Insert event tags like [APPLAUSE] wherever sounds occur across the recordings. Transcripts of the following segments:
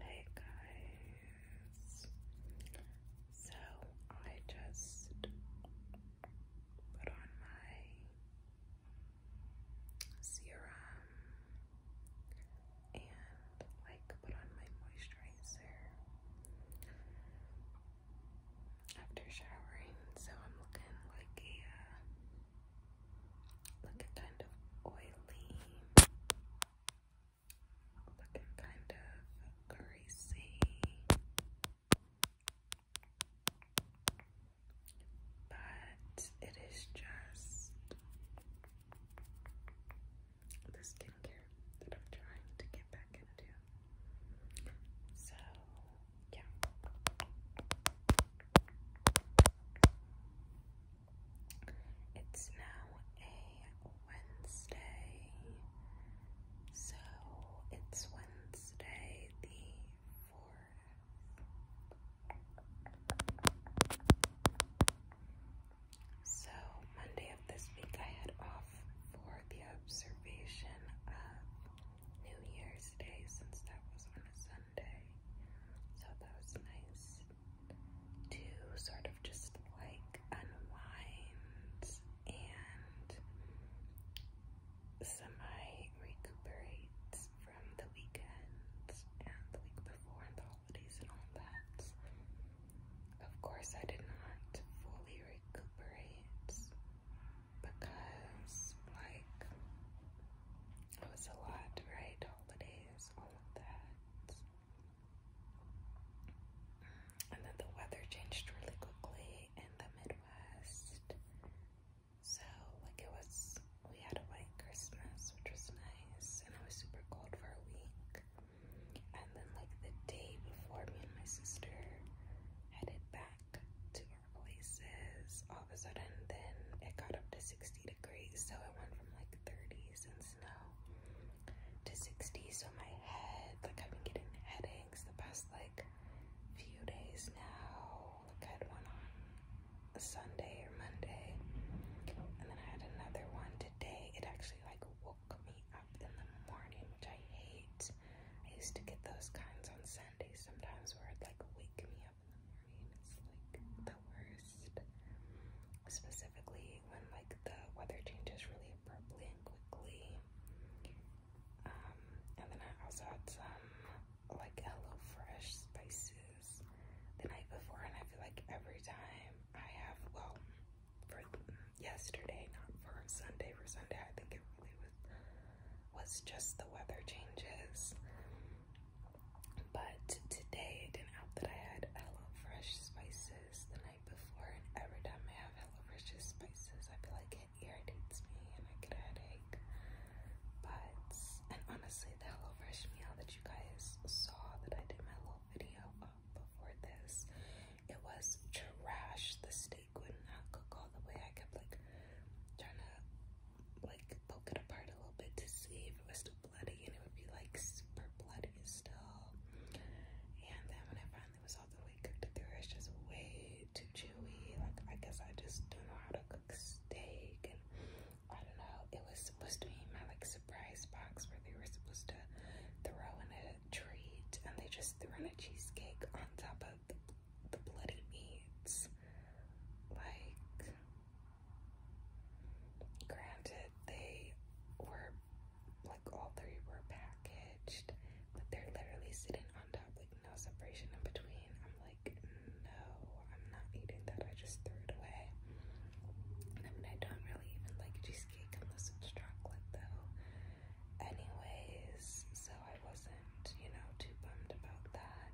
Hey guys, so I just put on my serum and like put on my moisturizer after showering, so I'm looking like a uh, looking kind of oily, looking kind of greasy, but it is just the skincare that I'm trying to get back into. So, yeah. It's now a Wednesday, so it's Wednesday the fourth. So, Monday of this week, I had off for the observation of New Year's Day since that was on a Sunday. So that was nice to sort of just like unwind and semi recuperate from the weekend and the week before and the holidays and all that. Of course, I did not fully recuperate because, like, it was a lot, right? Holidays, all of that. And then the weather changed really quickly in the Midwest. So, like, it was, we had a white Christmas, which was nice, and it was super cold for a week. And then, like, the day before, me and my sister headed back to our places all of a sudden. Then it got up to 60 degrees, so it went from like 30s and snow to 60s, So my head, like I've been getting headaches the past like few days now. Like I had one on a Sunday or Monday, and then I had another one today. It actually like woke me up in the morning, which I hate. I used to get those kinds on Sundays sometimes where it'd like wake me up up in the morning. It's like the worst. Specifically when like the weather changes really abruptly and quickly. Um, and then I also had some like Hello Fresh spices the night before, and I feel like every time I have, well, for yesterday, not for Sunday, for Sunday, I think it really was was just the weather changes. But today, it didn't help that I had Fresh spices the night before, and every time I have Fresh spices, I feel like it irritates me and I get a headache. But, and honestly, the Fresh meal that you guys saw that I did my little video before this, it was trash. The steak would not cook all the way. I kept like trying to like poke it apart a little bit to see if it was still bloody, and it would be like super bloody still. And then when I finally was all the way cooked through, it's just way too chewy. Like I guess I just don't know how to cook steak, and I don't know. It was supposed to be my like surprise box where they were supposed to throw in a treat, and they just threw in a cheesecake on top of the the bloody meats. Like Granted, they were like all three were packaged, but they're literally sitting on top, like no separation in between. I'm like, no, I'm not eating that. I just threw it away. I mean, I don't really even like cheesecake unless it's chocolate, though. Anyways, so I wasn't, you know, too bummed about that.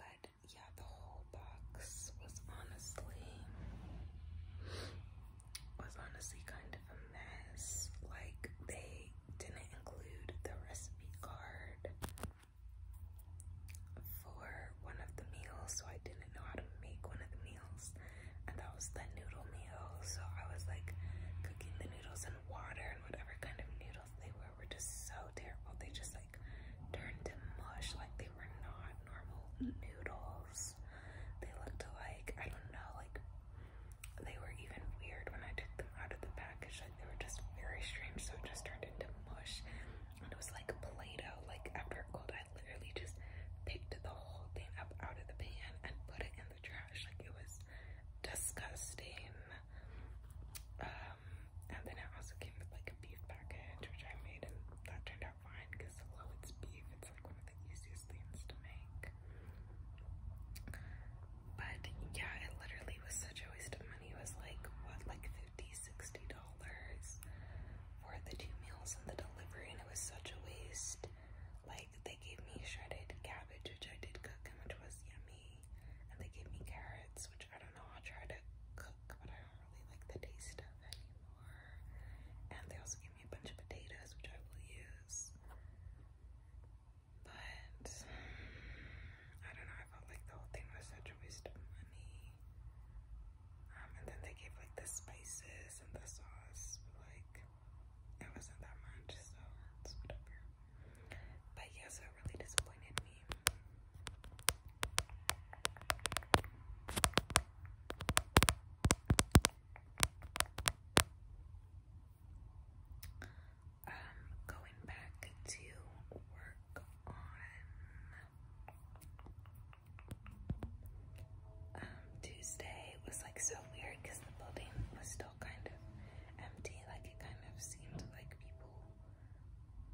But yeah, the whole box was honestly was honestly kind of a mess. Like they didn't include the recipe card for one of the meals, so I didn't know how to make one of the meals, and that was the noodle meal. So I was like cooking the noodles in water and whatever kind of noodles they were were just so terrible. They just like turned to mush, like they were not normal noodles. They looked like, I don't know, like they were even weird when I took them out of the package. Like they were just very strange, so it just turned into mush. And it was like Play-Doh. Like after it cooled, I literally just picked the whole thing up out of the pan and put it in the trash. Like it was disgusting. Uh, um, and then it also came with like a beef package, which I made, and that turned out fine because although it's beef, it's like one of the easiest things to make. But yeah, it literally was such a waste of money. It was like, what, like 50 60 dollars for the two meals and the delivery, and it was such a waste. Like, they gave me shredded cabbage, which I did cook, and which was yummy me, and they gave me carrots, which I don't know. I'll try to cook, but I don't really like the taste of anymore. And they also gave me a bunch of potatoes, which I will use. But I don't know. I felt like the whole thing was such a waste of money. Um, and then they gave like the spices and the sauce, but like it wasn't that much, so it's whatever. But yeah, so it really disappointed me. Um, going back to work on um, Tuesday was like so weird because the building was still kind of empty. Like it kind of seemed like people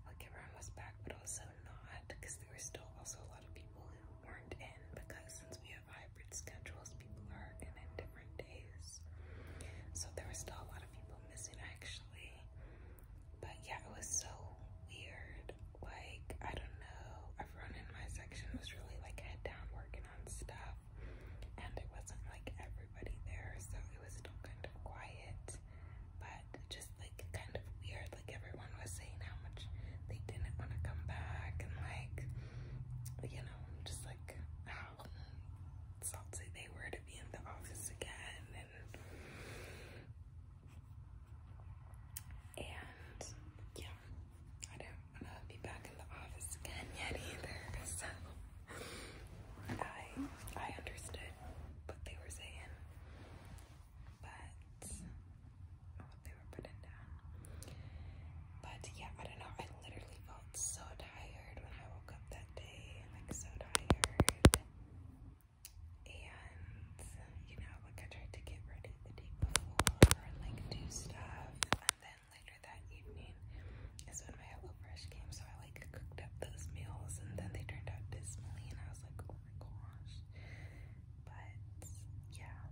like everyone was back, but also not, because there were still also a lot of people who weren't in, because since we have hybrid schedules, people are in in different days. So there were still a lot of people missing, actually. But yeah, it was so weird. Like, I don't know, everyone in my section was really like head down working on stuff, and it wasn't like everybody there, so it was still kind of quiet but just like kind of weird. Like everyone was saying how much they didn't want to come back, and like you know, just like how salty they were to be in the office again, and yeah, I don't want to be back in the office again yet either. [LAUGHS] So I I understood what they were saying, but what they were putting down. But yeah, I don't know. I literally felt so tired when I woke up that day, like so tired. And you know, like I tried to get ready the day before, like do stuff, and then later that evening my HelloFresh came, so I like cooked up those meals and then they turned out dismally and I was like, oh my gosh. But yeah.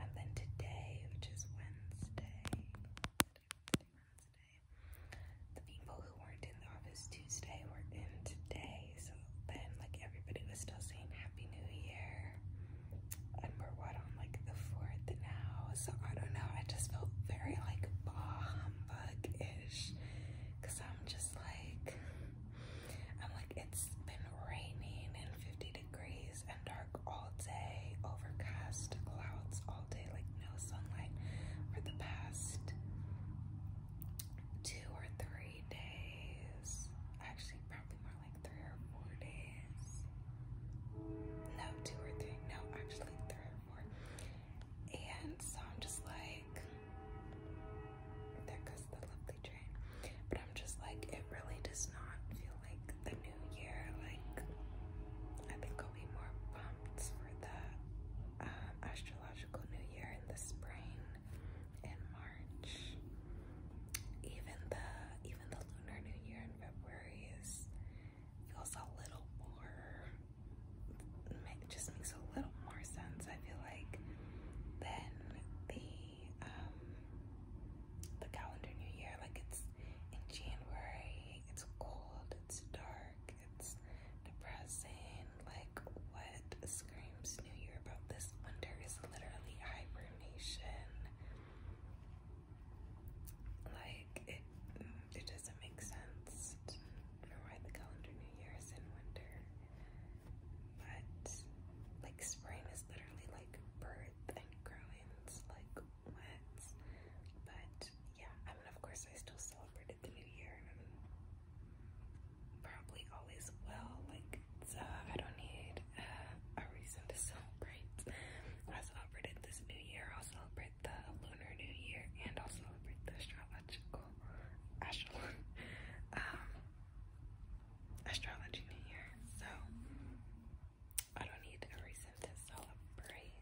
And then today, which is Wednesday, the people who weren't in the office Tuesday were in today. So then like everybody was still saying Happy New Year. And we're what on like the fourth now. So I don't know, I just felt very like bah humbug-ish because I'm just like, I'm like, it's been raining and 50 degrees and dark all day, overcast clouds all day, like no sunlight for the past two or three days. Actually, probably more like three or four days. No, two or three. No, actually, three or four. And so I'm just like, there goes the lovely train. But I'm just like, it really does not feel like the new year. Like, I think I'll be more pumped for the um, astrological new year in the spring in March. Even the even the lunar new year in February is feels a little more, it just makes a little more sense, I feel like, than the, um, the calendar new year. Like it's in January, it's cold, it's dark, it's depressing, like what screams new year about this winter is literally hibernation. Like it, it doesn't make sense. I'm the calendar New Year's in winter, but like spring is literally like birth and growing, it's like what? But yeah, I mean, of course, I still celebrated the New Year probably always will. Like, I don't need uh, a reason to celebrate. [LAUGHS] I celebrated this New Year, I'll celebrate the Lunar New Year and I'll celebrate the astrological astro [LAUGHS] um, astrology new year. So I don't need a reason to celebrate.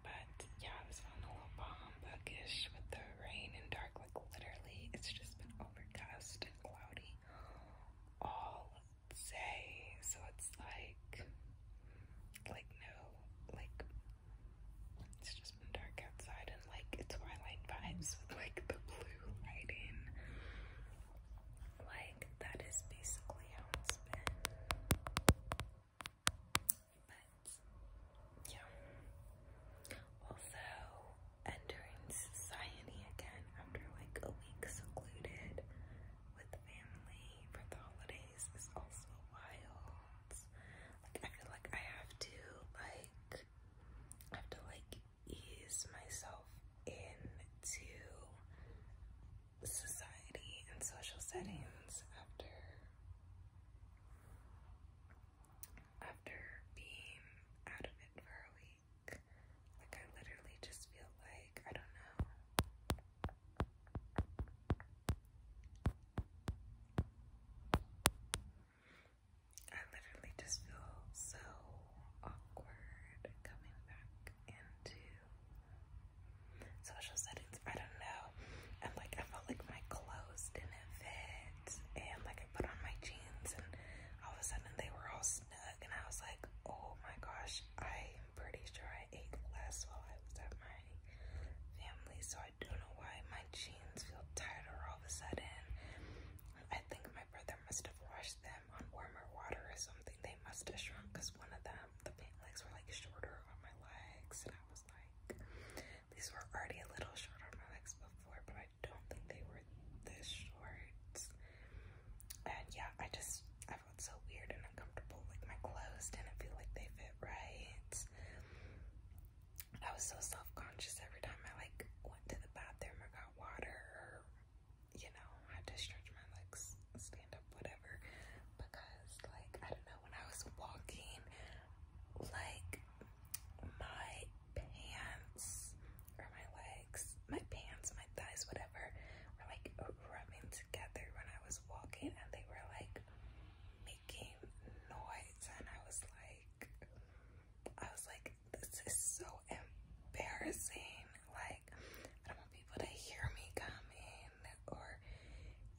But yeah, I was feeling a little bomb bookish with the rain and dark, like literally it's just been overcast and cloudy all day. So it's like like, no, like, it's just been dark outside and like it's twilight vibes with like the blue lighting. Like, that is basically how it's been. But, yeah. Also, entering society again after like a week secluded with family for the holidays. This is also wild. Like I feel like I have to like have to like ease myself into society and social settings after after being out of it for a week. Like I literally just feel like I don't know. I literally just feel so awkward coming back into social settings. I don't know. And like, I felt like my clothes didn't fit. And like, I put on my jeans and all of a sudden they were all snug. And I was like, oh my gosh, I'm pretty sure I I ate less while I was at my family, so I don't know why my jeans feel tighter all of a sudden. I think my brother must have washed them on warmer water or something. They must have shrunk because one of them, the pant legs were like shorter on my legs, and I was like, these were already a little shorter on my legs before, but I don't think they were this short. And yeah, I just, felt so weird and uncomfortable. Like my clothes didn't feel like they fit right. I was so self-conscious every time I like went to the bathroom or got water you know, I had to stretch my legs, stand up, whatever. Because like I don't know, when I was walking, like my pants or my legs, my pants, my thighs, whatever, were like rubbing together when I was walking and they were like making noise and I was like I was like this is so embarrassing like I don't want people to hear me coming or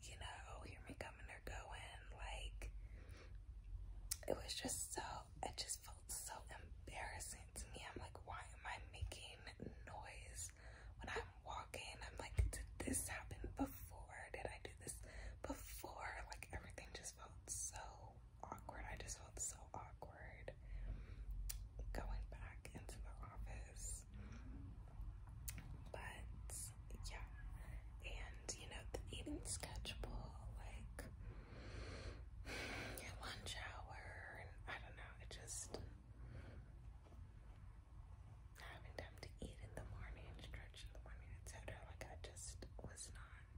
you know hear me coming or going like it was just so it just felt so embarrassing to me I'm like why am I making noise when I'm walking, I'm like, did this happen before? Did I do this before? Like everything just felt so awkward. I just felt so awkward going back into the office. But yeah. And you know, the eating schedule, like [SIGHS] lunch hour and I don't know, it just having time to eat in the morning stretch in the morning, etc. Like I just was not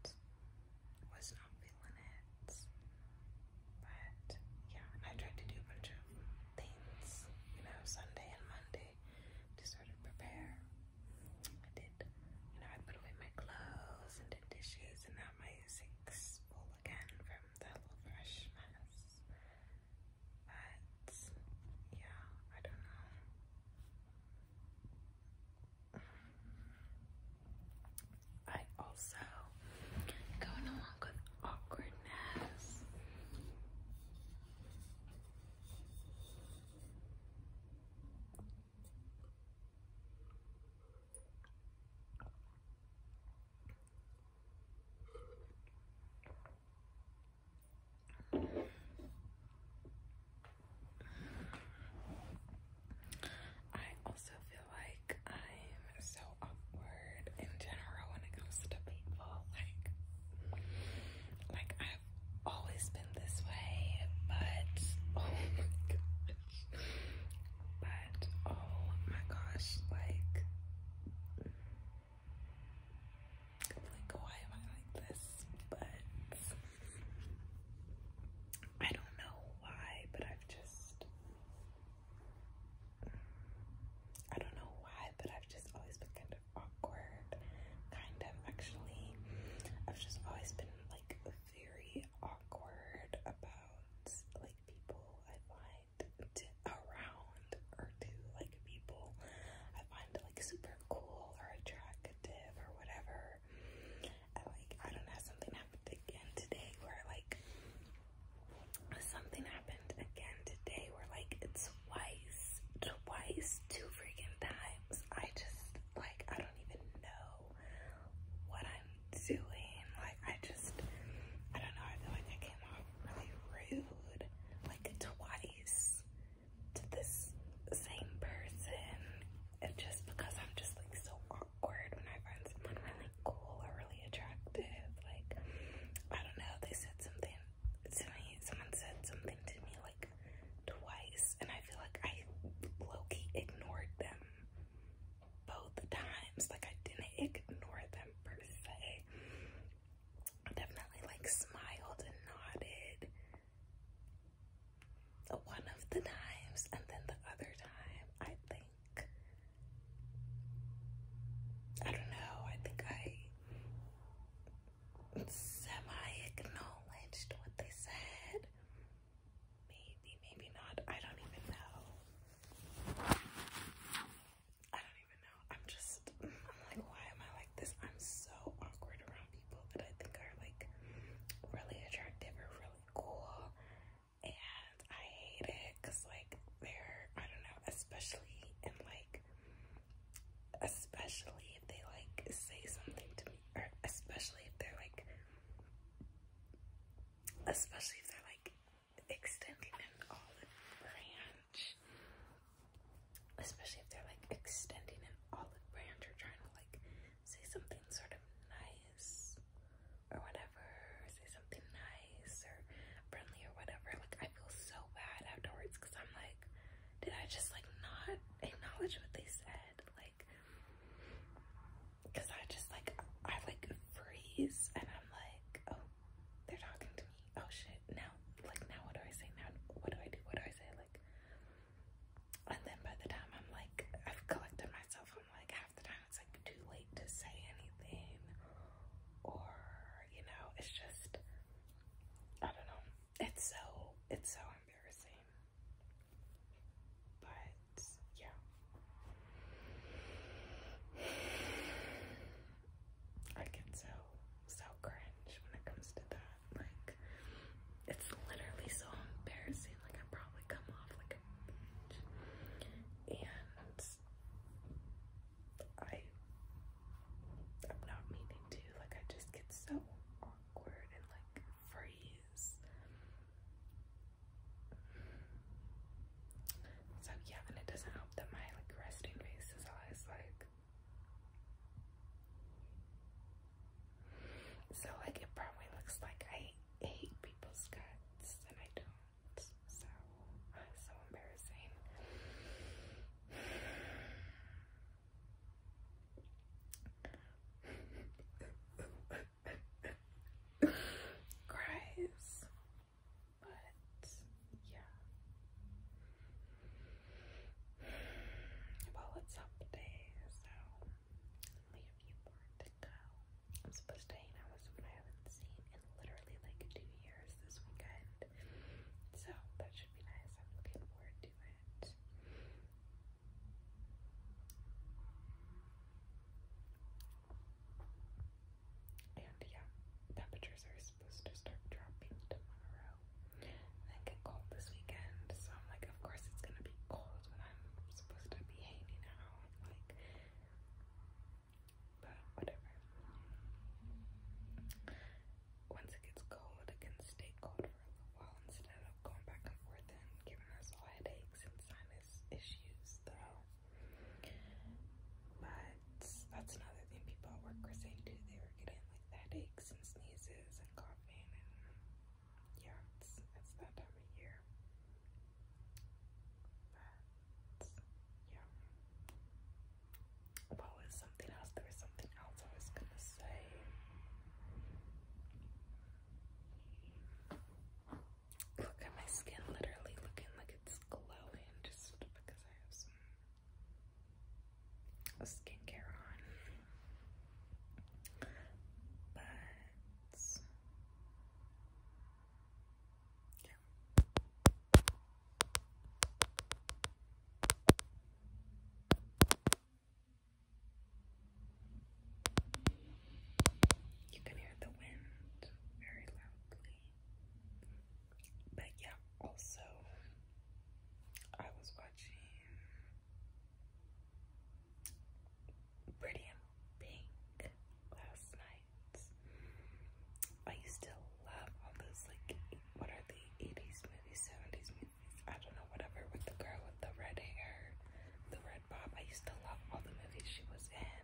was not feeling it. But yeah, I tried to do a bunch of things, you know, Sunday and Monday to sort of prepare. I did, you know, I put away my clothes and did dishes and now my sink's full again from the little fresh mess. But yeah, I don't know. I also going along with awkwardness. I also feel like I'm so awkward in general when it comes to people. Like, like I've always been this way, but [LAUGHS] oh my gosh, but oh my gosh, like like, why am I like this? But I don't know why, but I've just I don't know why, but I've just always been kind of awkward. Kind of actually. I've just always been like very awkward about like people I like around or to like people I find like super cool or attractive or whatever. And like I don't know, something happened again today where like something happened again today where like it's twice, twice, two freaking times. I just like I don't even know what I'm doing. Like I just I don't know, I feel like I came off really rude, like twice to this same person. And just because I'm just like so awkward when I find someone really cool or really attractive, like I don't know, they said something to me, someone said something to me like twice, and I feel like I low ignored them both times. Like I didn't ignore them per se, definitely like smiled and nodded one of the times, and then the other time, I think I don't know, I think I semi acknowledged what they said. Maybe, maybe not. I don't even know. I don't even know. I'm just, I'm like, why am I like this? I'm so awkward around people that I think are like really attractive or really cool. And I hate it because, like, they're, I don't know, especially in like, especially if they like say something to me, or especially if they're like, especially if they're like extending an olive branch. Especially if they're like extending an olive branch or trying to like say something sort of nice or whatever, say something nice or friendly or whatever. Like, I feel so bad afterwards because I'm like, did I just like not acknowledge what they said? Like, because I just like, I like freeze and I'm like, oh, they're talking to me oh shit, now, like, now what do I say? Now, what do I do? What do I say? Like, and then by the time I'm like, I've collected myself, I'm like, half the time it's like too late to say anything, or, you know, it's just, I don't know. It's so, it's so embarrassing. But, yeah. I get so so cringe when it comes to that. Like it's literally so embarrassing. Like I probably come off like a bitch. And I I'm not meaning to. Like I just get so awkward and like freeze. So yeah, and it doesn't help that my like resting face is always like so like it probably looks like I hate people's guts and I don't. So so embarrassing. [LAUGHS] Christ. But yeah. Well, it's up day, so only a few more to go. I'm supposed to hang out with someone I haven't seen in literally like two years this weekend. So that should be nice. I'm looking forward to it. And yeah, temperatures are supposed to start dropping tomorrow. And then get cold this weekend. So I'm like, of course it's gonna be cold when I'm supposed to be hanging out. Like but whatever. Once it gets cold, it can stay cold for a little while instead of going back and forth and giving us all headaches and sinus issues though. But that's another thing people were saying too. They were getting like headaches and sneezes and coughing and yeah, it's, it's that time of year. But yeah. What was something else? There was something else I was gonna say. Look at my skin literally looking like it's is glowing just because I have some skincare on. But You can hear the wind very loudly. But yeah, also, I was watching Pretty in Pink last night. I used to love all those, like, what are the 80s movies, 70s movies, I don't know, whatever, with the girl with the red hair, the red pop. I used to love all the movies she was in.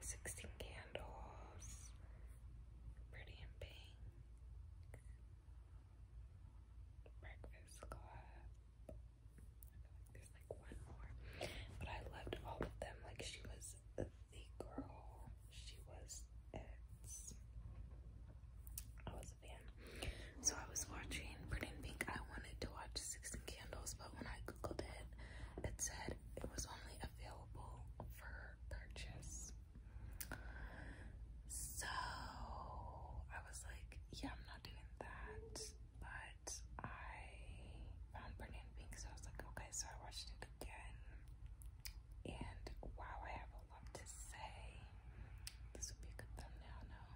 16 Candles, Pretty in Pink, Breakfast Club. I feel like there's like one more, but I loved all of them. Like she was the girl, she was I was a fan, so I was watching Pretty in Pink. I wanted to watch Sixteen Candles, but when I googled it, it said it was only available for purchase. So I was like, yeah, I'm not doing that. But I found Burning Pink, so I was like, okay, so I watched it again. And wow, I have a lot to say. This would be a good thumbnail now.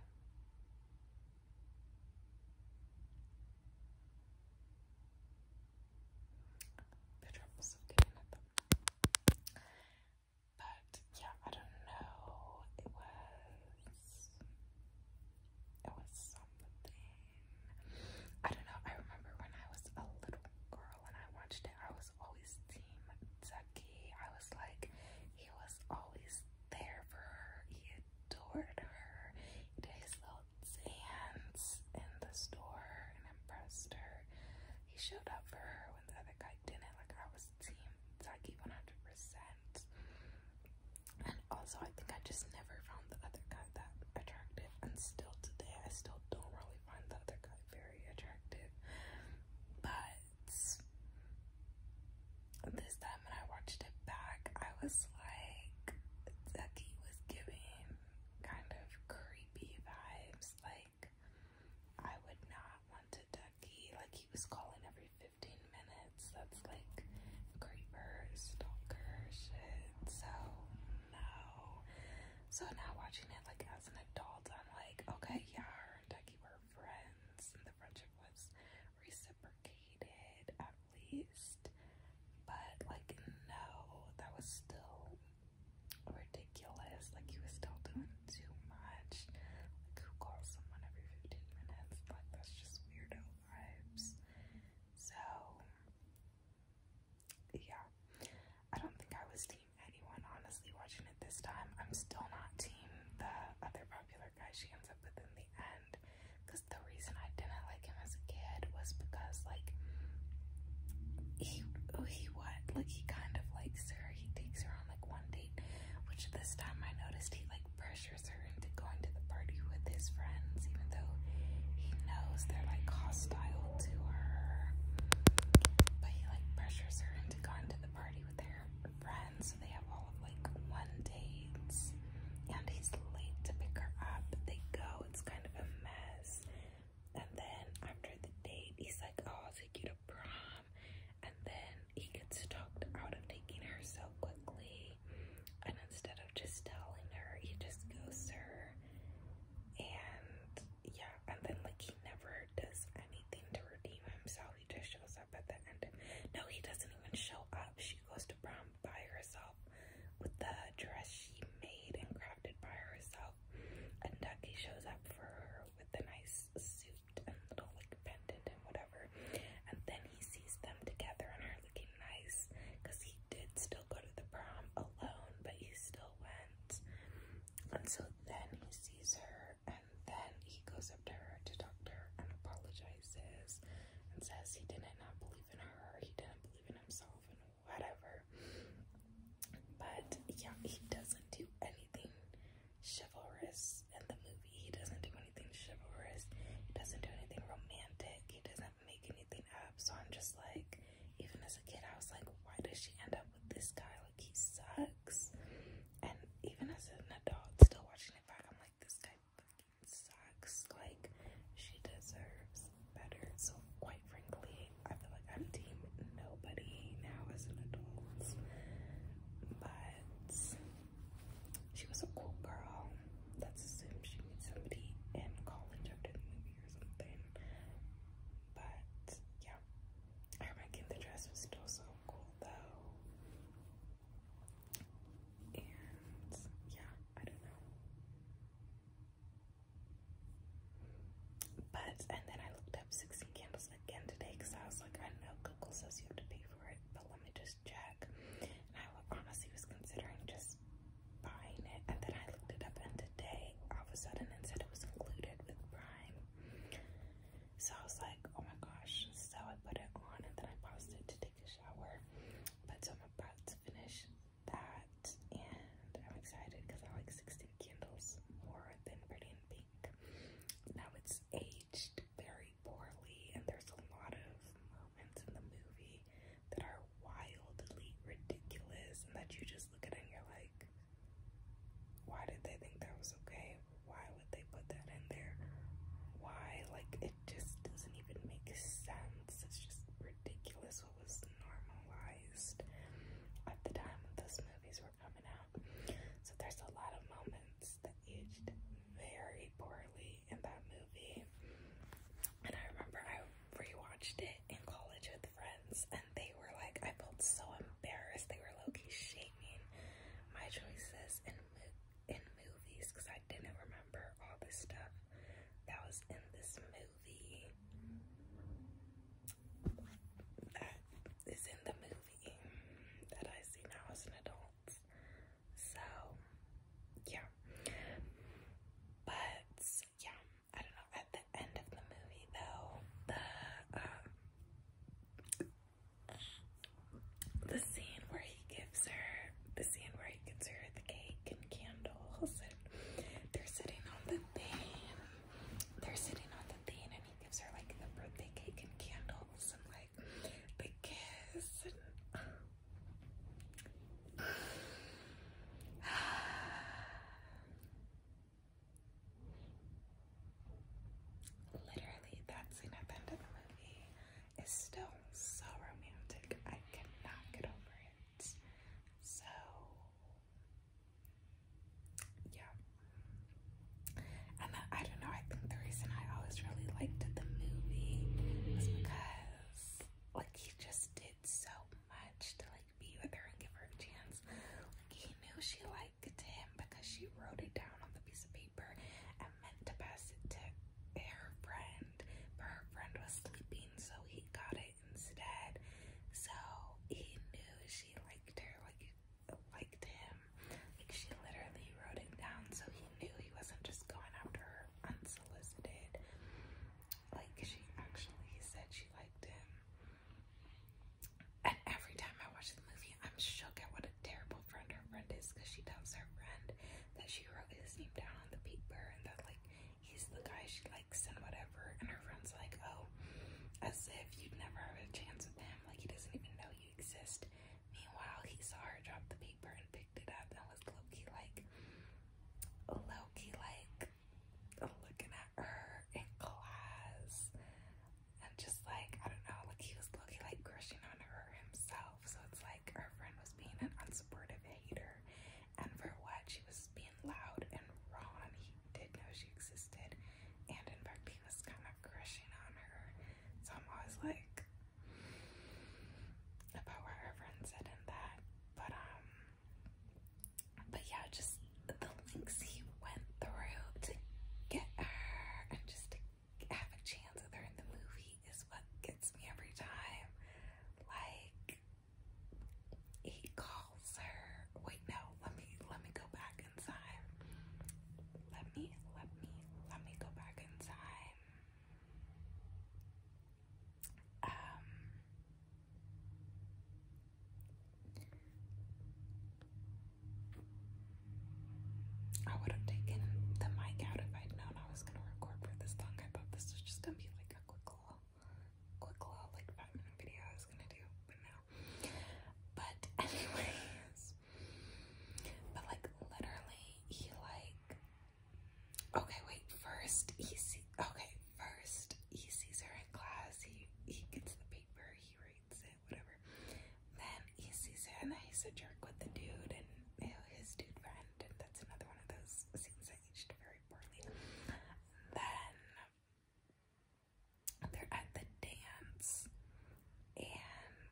But yeah, I don't know. It was it was something. I don't know. I remember when I was a little girl and I watched it, I was always team Ducky. I was like, he was always there for her. He adored her. Walt's in the store and impressed her. He showed up for her when the other guy didn't. Like, I was team Zaki 100%. And also, I think I just never found the other guy that attractive. And still today, I still don't really find the other guy very attractive. But this time when I watched it back, I was like, Zeki was giving kind of creepy vibes. Like, I would not want to duckie. Like, he was calling every 15 minutes. That's like creeper, stalker shit. So, no. So, now watching it, like, as an adult, I'm like, okay, yeah, her and duckie were friends, and the friendship was reciprocated least. But like no, that was still ridiculous. Like he was still doing too much. Like who calls someone every 15 minutes? Like that's just weirdo vibes. So yeah. I don't think I was team anyone honestly watching it this time. I'm still not team the other popular guy she ends up with in the end the reason I didn't like him as a kid was because like he he what like he kind of likes her he takes her on like one date which this time I noticed he like pressures her into going to the party with his friends even though he knows they're like hostile to her but he like pressures her into going to the party with their friends so they have all of like one dates and he's late to pick her up they go it's kind of a and then after the date, he's like, "Oh, I'll take you to prom." And then he gets talked out of taking her so quickly. And instead of just telling her, he just goes "Sir." And yeah, and then like he never does anything to redeem himself. He just shows up at the end. No, he doesn't even show up. She goes to prom by herself with the dress she made and crafted by herself. And Ducky shows up for her with a nice suit and little like pendant and whatever. And then he sees them together and her looking nice because he did still go to the prom alone, but he still went. And so then he sees her and then he goes up to her to talk to her and apologizes and says he didn't not believe in her, he didn't believe in himself whatever. But yeah, he doesn't do anything chivalrous in the movie. He doesn't do anything chivalrous. He doesn't do anything romantic. He doesn't make anything up. So I'm just like, even as a kid, I was like, why does she end up with this guy? Like, he sucks. And even as an adult, still watching it back, I'm like, this guy sucks. Like, she deserves better. So, quite frankly, I feel like I'm team nobody now as an adult. But she was a cool girl. Let's assume she meets somebody in college after the movie or something. But yeah, her making the dress was still so cool though. And yeah, I don't know. But, and then I looked up 16 candles again today because I was like, I know Google says you have to pay for it, but let me just check. And I honestly was considering just buying it. And then I looked it up, and today, all of a sudden, it said it was included with Prime. So I was like, oh my gosh. So I put it on, and then I paused it to take a shower. But so I'm about to finish that, and I'm excited because I like 16 candles more than Pretty in Pink. Now it's aged very poorly, and there's a lot of moments in the movie that are wildly ridiculous, and that you just look at it and you're like, why did they think that was okay? Why would they put that in there? Why? Like, it just doesn't even make sense. It's just ridiculous also was normalized at the time when those movies were coming out. So there's a lot of moments that aged very poorly in that movie. And I remember I rewatched it in college with friends and they were like, I felt so embarrassed. They were low-key shaming my choices in, mo in movies because I didn't remember all this stuff that was in this movie. That is in the movie that I see now as an adult. So, yeah. But, yeah, I don't know. At the end of the movie, though, the, um, the scene where he gives her the scene where he gets her the cake and candles and they're sitting on the thing. They're sitting on the thing and he gives her like the birthday cake and candles and like the kiss and [SIGHS] Literally, that scene at the end of the movie is still so romantic. I cannot get over it. So, yeah. And I don't know, I think the reason I always really liked the movie was because, like, he just did so much to, like, be with her and give her a chance. Like, he knew she liked him because she wrote it down on the piece of paper and meant to pass it to her friend, but her friend was sleeping so he got it instead. So he knew she liked her, like liked him. Like she literally wrote it down, so he knew he wasn't just going after her unsolicited. Like she actually said she liked him. And every time I watch the movie, I'm shook at what a terrible friend her friend is because she tells her friend that she wrote his name down on the paper and that, like, he's the guy she likes and whatever. And her friend's like, oh, as if you'd never have a chance with him. Like, he doesn't even know you exist. Meanwhile, he saw her drop the paper and picked it up and was low like, low like, looking at her in class. And just like, I don't know, like he was low like crushing on her himself. So it's like her friend was being an unsupportive hater and for what she was being loud and raw, and he did know she existed, and in fact, he was kind of crushing on her. So I'm always like about what her friend said in that, but um, but yeah, just the links he went through to get her and just have a chance with her in the movie he is what gets me every time. Like he calls her. Wait, no. Let me let me go back in Let me let me let me go back in Um. I would have taken the mic out if I'd known I was gonna record for this long. I thought this was just gonna be like quick claw, quick claw, like five minute video I was gonna do, but no. But [LAUGHS] anyways, but like literally he like, okay wait, first he see, okay, first he sees her in class, he, he gets the paper, he reads it, whatever. Then he sees her and he's a jerk with the dude and his dude friend and that's another one of those scenes that very poorly. Then they're at the dance, and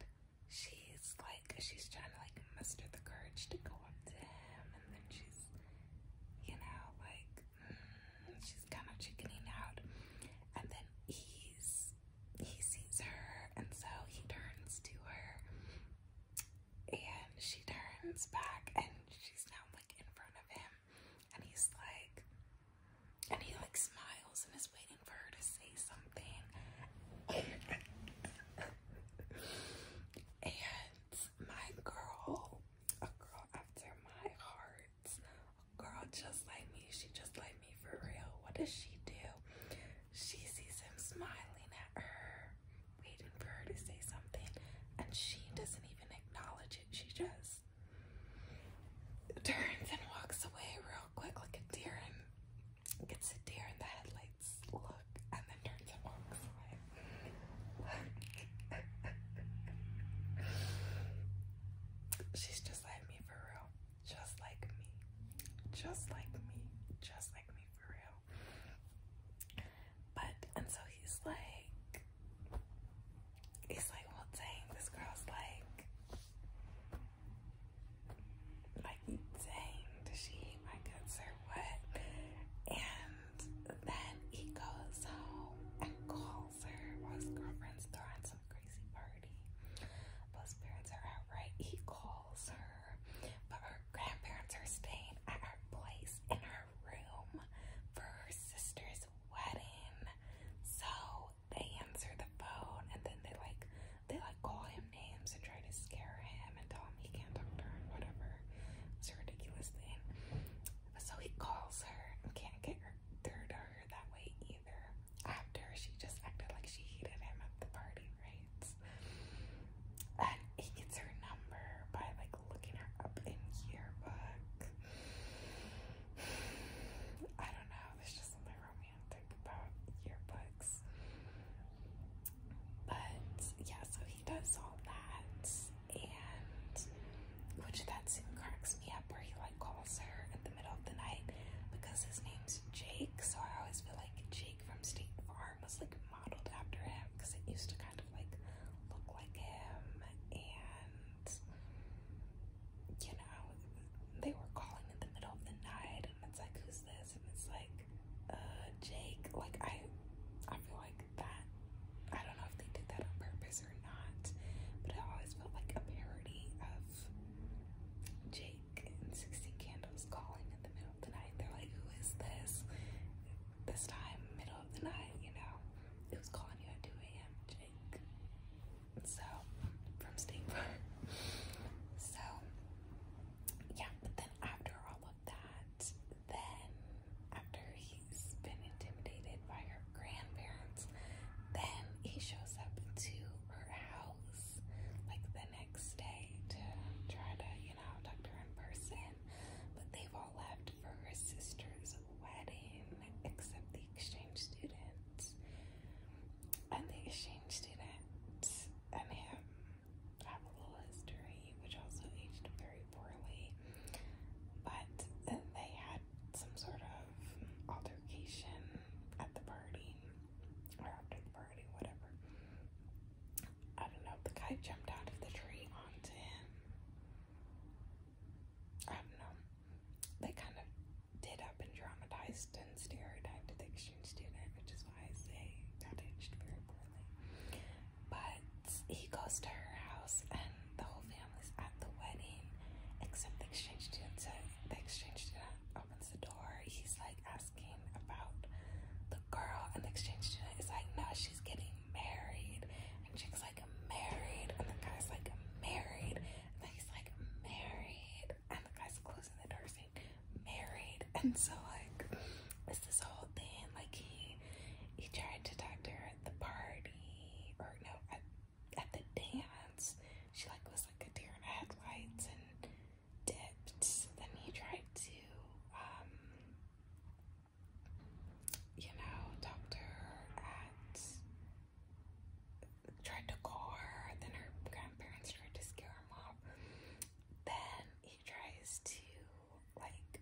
she's like, she's trying to like muster the courage to go up to him, and then she's, you know, like, mm, she's kind of chickening out, and then he's he sees her, and so he turns to her and she turns back and she's now like in front of him and he's like and he like smiles and is waiting for her to say something and my girl a girl after my heart a girl just like me she just like me for real what does she do she sees him smiling at her waiting for her to say something, and she doesn't even acknowledge it. She just turns and walks away real quick like a deer and gets a deer in the headlights look, and then turns and walks away. She's just like me for real. Just like me. Just like me. Just like me for real. But and so he's like he's like, well dang, this girl's like like dang, does she eat my guts or what? And then he goes home and calls her while his girlfriend's throwing some crazy party. Both parents are out right. He calls her, but her grandparents are staying at our place in our room for her sister's wedding. So they answer the phone and then they like they like call him names and try to scare him and tell him he can't talk to her and whatever. It's a ridiculous thing. So he calls her and can't get her through to her that way either. After she just acted like she hated him at the party, right? And he gets her number by like looking her up in yearbook. [SIGHS] I don't know, there's just something romantic about yearbooks. But yeah, so he does all that and which that soon cracks me up where he like calls her in the middle of the night because his name's Jake, so I always feel like Jake from State Farm was like modeled after him because it used to kind of like look like him, and you know, they were calling in the middle of the night, and it's like, who's this? And it's like, uh, Jake. Like, I, I feel like that. I don't know if they did that on purpose or not, but it always felt like a parody of Jake and Sixteen Candles calling in the middle the night. They're like, who is this? This time, middle of the night, you know. It was calling you at 2 a.m., Jake. So, from State Park. So, yeah, but then after all of that, then after he's been intimidated by her grandparents, then he shows up to her house like the next day to try to, you you Dr. in person, but they've all left for her sister's wedding, except the exchange students. And the exchange students and him have a little history, which also aged very poorly. But they had some sort of altercation at the party, after the whatever. I don't know. The kite jumped out of the tree onto him. I don't know. They kind of did up and dramatized and stereotyped the exchange student, which is why I say that aged very poorly. But he goes to her house, and the whole family's at the wedding, except the exchange student. So the exchange student opens the door. He's like at asking about the girl and the exchange student is like, no, she's getting married. And Jake's like, married. And the guy's like, married. And then he's like, married. And the guy's closing the door saying, married. And so like, it's this whole thing. Like he, he tried to talk to her at the party or no, at, at the dance. She like was like a deer in headlights and dipped. Then he tried to, um, you know, talk to her tried to call her. Then her grandparents tried to scare him off. Then he tries to, like,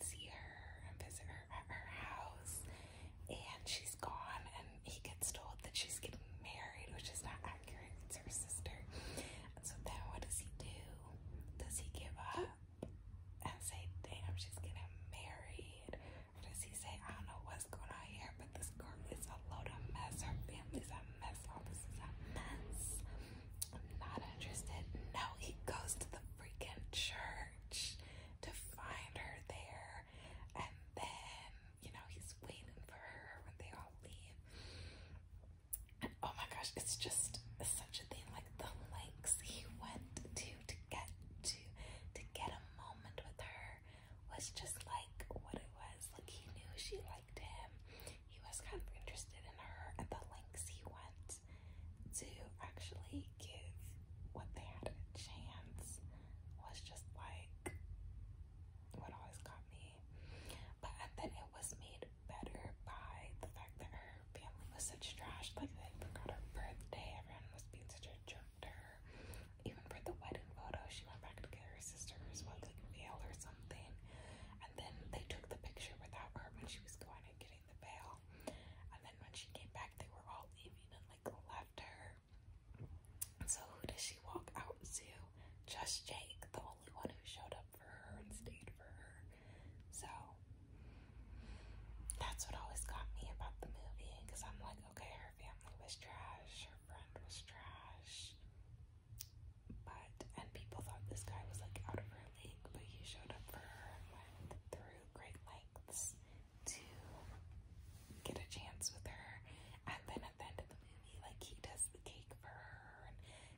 see her and visit her at her house. And she's gone, and he gets told that she's getting married, which is not it's her sister. so then what does he do? Does he give up and say, damn, she's getting married? Or does he say, I don't know what's going on here, but this girl is a load of mess. Her family's a mess. All this is a mess. I'm not interested. No, he goes to the freaking church to find her there. And then, you know, he's waiting for her when they all leave. And oh my gosh, it's just such a thing. Like the lengths he went to to get to to get a moment with her was just like what it was. Like he knew she liked him. He was kind of interested in her and the lengths he went to actually give what they had a chance was just like what always got me me. But I think it was made better by the fact that her family was such trash. Like they forgot her birthday. Everyone was being such a jerk to her. Even for the wedding photo, she went back to get her sister's what like veil or something. And then they took the picture without her when she was going and getting the veil. And then when she came back, they were all leaving and like left her. So who does she walk out to? Just Jake, the only one who showed up for her and stayed for her. So that's what always got me about the movie because I'm like, okay, her family was trash, her friend was trash, but and people thought this guy was like out of her league, but he showed up for her and went through great lengths to get a chance with her. And then at the end of the movie, like he does the cake for her and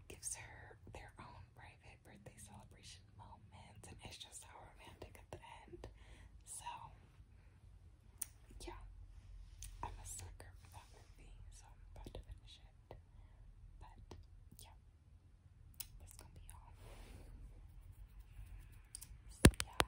gives her their own private birthday celebration moment, and it's just so romantic at the end. So, yeah, I'm a sucker for that movie, so about to finish it. But, yeah, that's gonna be all. So, yeah.